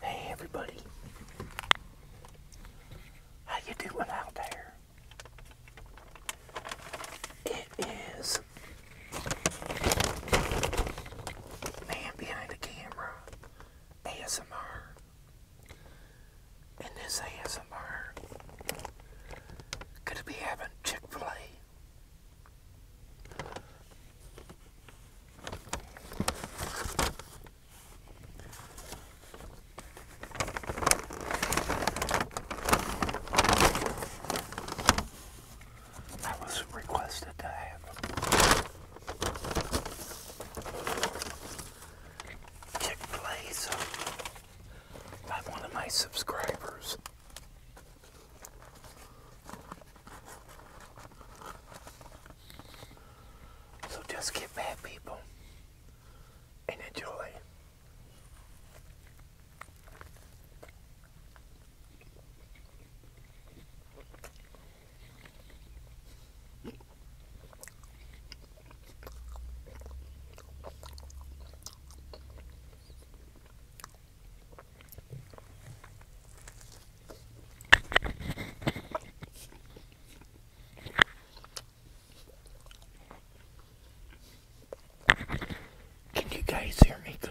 Hey everybody. How you doing out there? It is man behind the camera ASMR. And this ASMR gonna be having Chick-fil-A I was requested to have Chick Fil A by one of my subscribers. So just get bad people, and enjoy. Can you guys hear me good?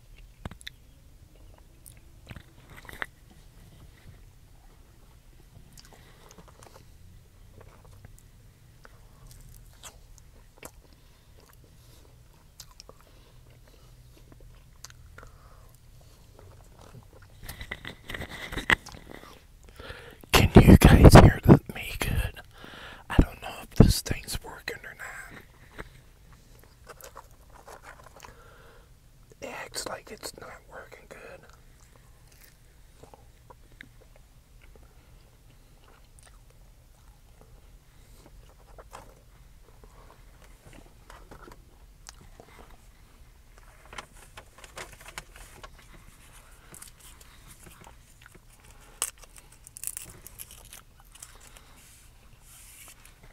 Can you guys hear me good? I don't know if this thing's working or not acts like it's not working good.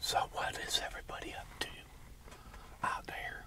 So what is everybody up to out there?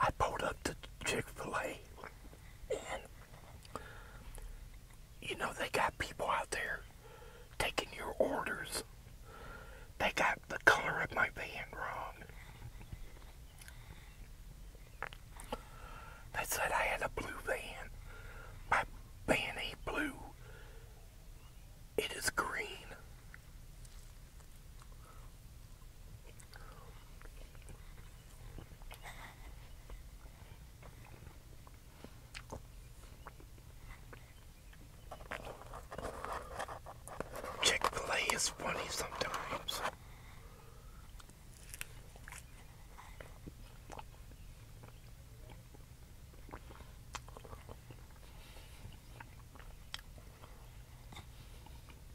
I pulled up to Chick-fil-A and you know they got people out there taking your orders. They got the color of my van wrong. They said I had a blue van. My van ain't blue. It is green. Chick fil A is funny sometimes.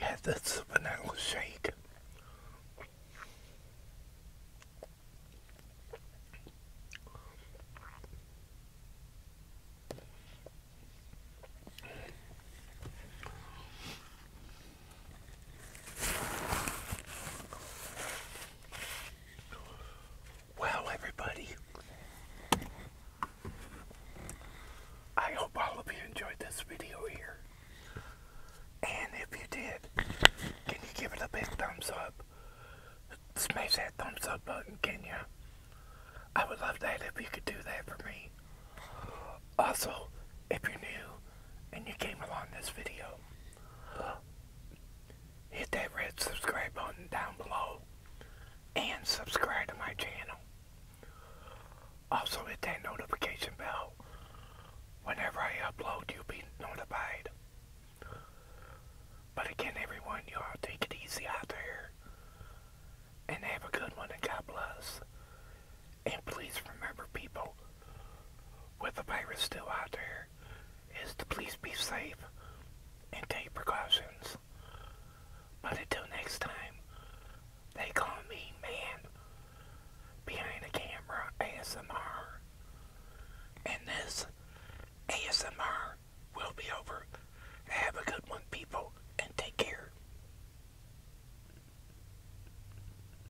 Yeah, that's a vanilla shake. Wow, everybody, I hope all of you enjoyed this video here. And if you did, can you give it a big thumbs up? Smash that thumbs up button, can you? I would love that if you could do that for me. Also, if you're new and you came along this video, hit that red subscribe button down below and subscribe to my channel. Also hit that notification bell. Whenever I upload, you'll be notified. But again, everyone, you all take it easy out there. And have a good one, and God bless. And please remember, people, with the virus still out there, is to please be safe and take precautions. But until next time, they call me Man Behind the Camera ASMR. And this ASMR will be over. Have a good one, people, and take care.